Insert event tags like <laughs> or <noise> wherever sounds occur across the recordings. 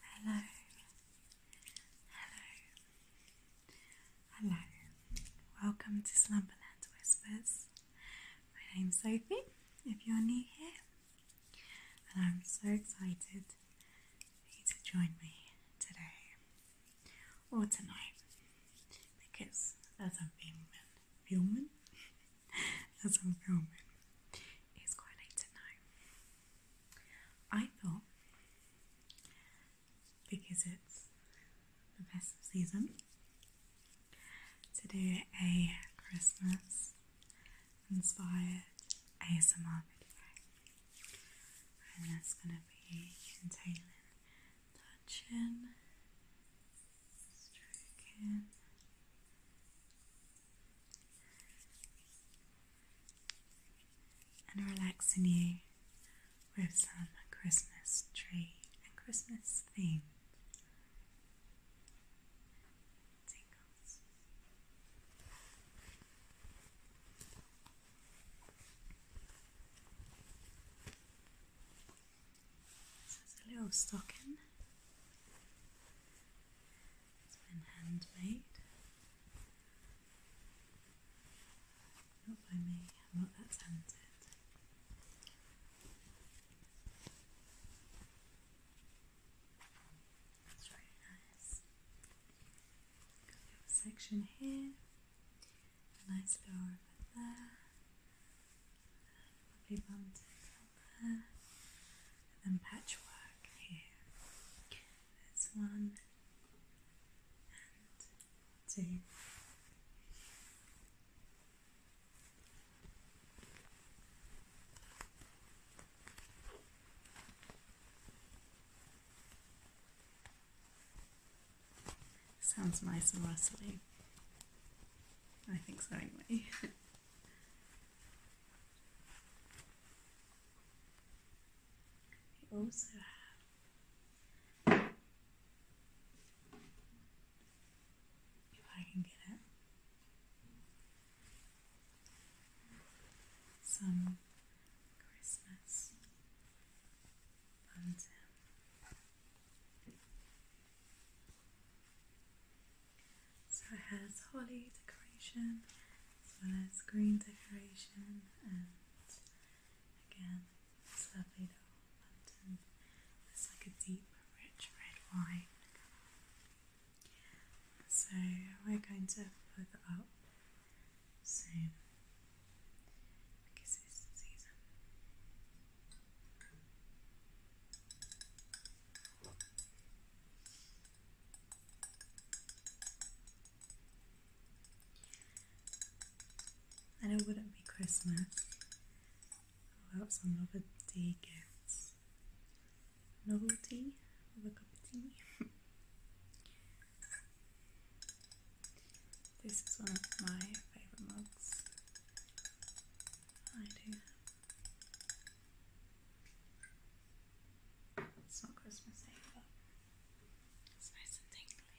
Hello. Hello. Hello. Welcome to Slumberland Whispers. My name's Sophie, if you're new here, and I'm so excited for you to join me today or tonight because as a am filming, filming, as <laughs> I'm it's quite late tonight. I thought because it's the best season to do a Christmas inspired ASMR video, and that's gonna be in entailing Touching, chin, And relaxing you with some Christmas tree and Christmas theme. This a little stocking. It's been handmade. Not by me, not that talented. It's really nice section here, a nice flower over there, lovely bunting out there, and patchwork here. There's one and two. Sounds nice and rustly. I think so, anyway. we also have, if I can get it, some Christmas so it has holly decoration as well as green decoration and again it's lovely little lantern. It's like a deep, rich red wine. So we're going to put it up same. I guess season. And it wouldn't be Christmas without some novelty gifts. Novelty of a cup of tea. <laughs> This is one of my favourite mugs. I do. It's not Christmassy, but it's nice and tingly.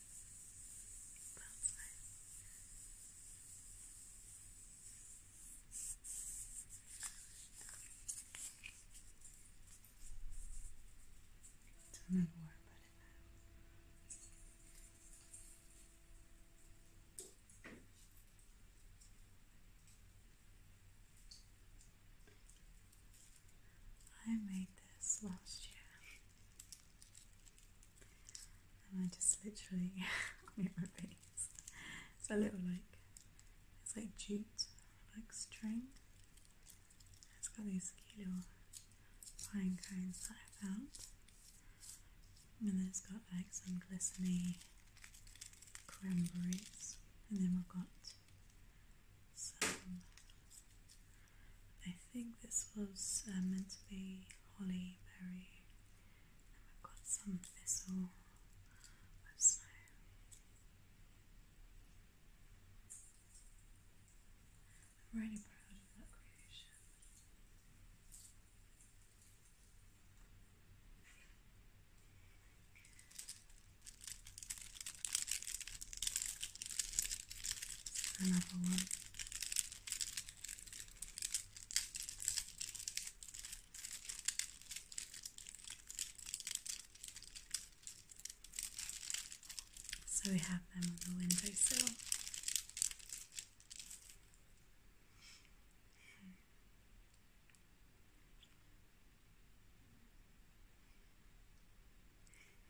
both sides. It's another word, but it I made this last year and I just literally it <laughs> my face it's a little like it's like jute like string it's got these cute little pine cones that I found and then it's got like some glistening cranberries and then we've got some I think this was uh, meant to be holly berry, got some thistle I'm really proud of that creation another one. So we have them on the window sill.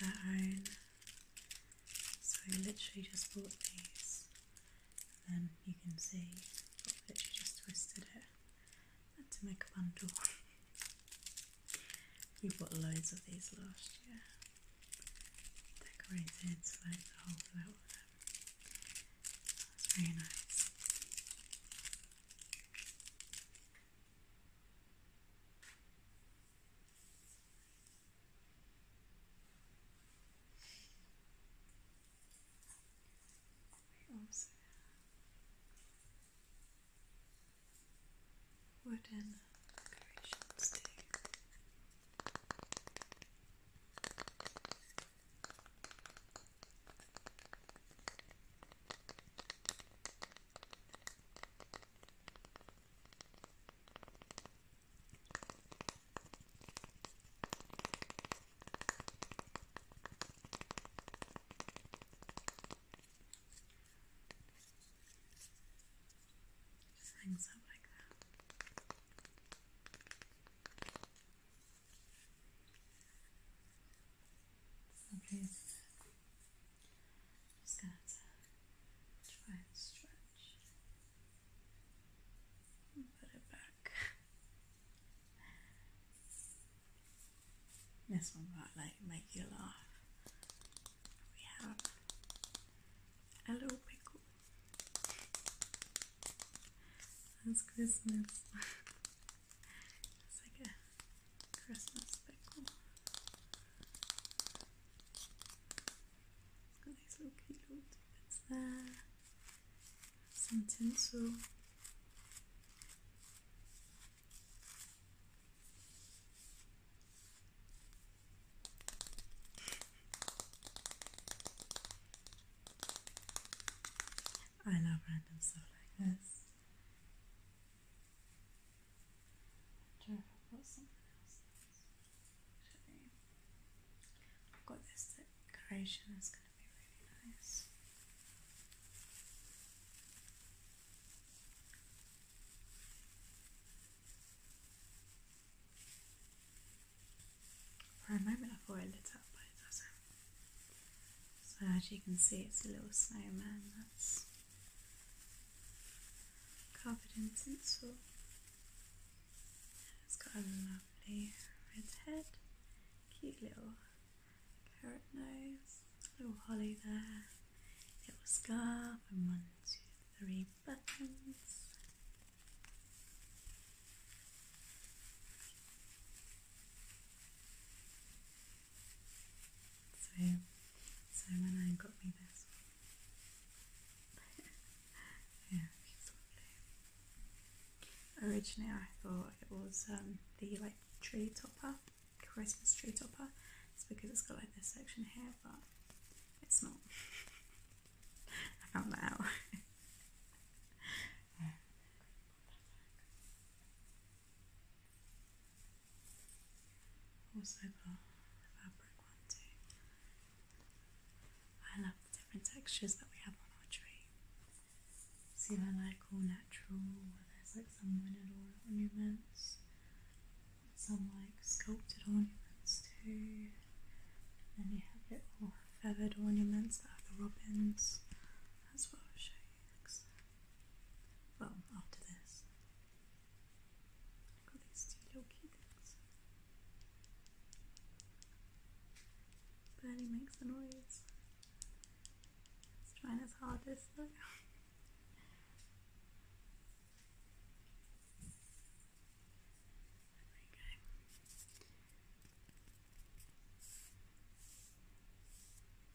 their own. So I literally just bought these, and then you can see I've literally just twisted it. to make a bundle. <laughs> we bought loads of these last year. Decorated like the whole flower. That's very nice. Also wooden decorations too. Just hangs up like that. Okay. Just gonna try and stretch put it back. This one might like make you laugh. We have a little pickle. That's Christmas. <laughs> It's like a Christmas pickle. It's cute little bits there. Some tinsel. I love random stuff like this. I I've something else. Actually, I've got this decoration that's going to be really nice. For a moment I thought lit up, but it so as you can see, it's a little snowman that's covered in tinsel. It's got a lovely red head, cute little carrot nose, little holly there, little scarf, and one, two, three buttons. So, so when I got me this one, <laughs> yeah, she's lovely. Originally, I thought it was um, the like tree topper, Christmas tree topper. It's because it's got like this section here, but it's not. <laughs> I found that out. <laughs> Also fabric one too. I love the different textures that we have on our tree. See they like all natural there's like some wooded ornaments, some like sculpted ornaments too. And you have little feathered ornaments that are the robins. That's what I'll show you next well, after this, I got these two little cute things. makes a noise. It's trying as hardest though. <laughs> There we go.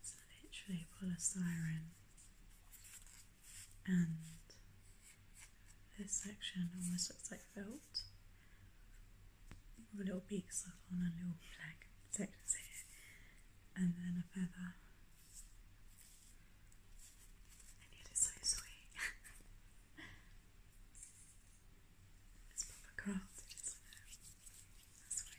It's literally polystyrene, and this section almost looks like felt. All the little beak on a little flag sections and then a feather. And it is so sweet. it's proper crafted, isn't it? That's what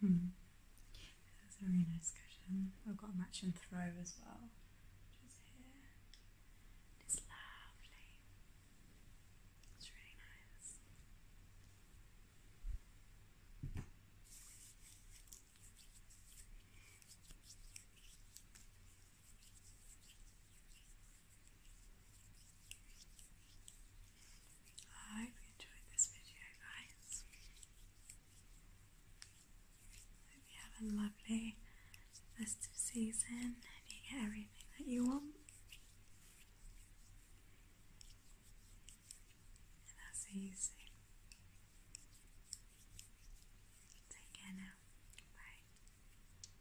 Hmm. That's a really nice cushion. We've got a matching throw as well, It's lovely. It's really nice. I hope you enjoyed this video, guys. Hope you have a lovely festive season and you get everything that you want. And I'll Take care now. Bye.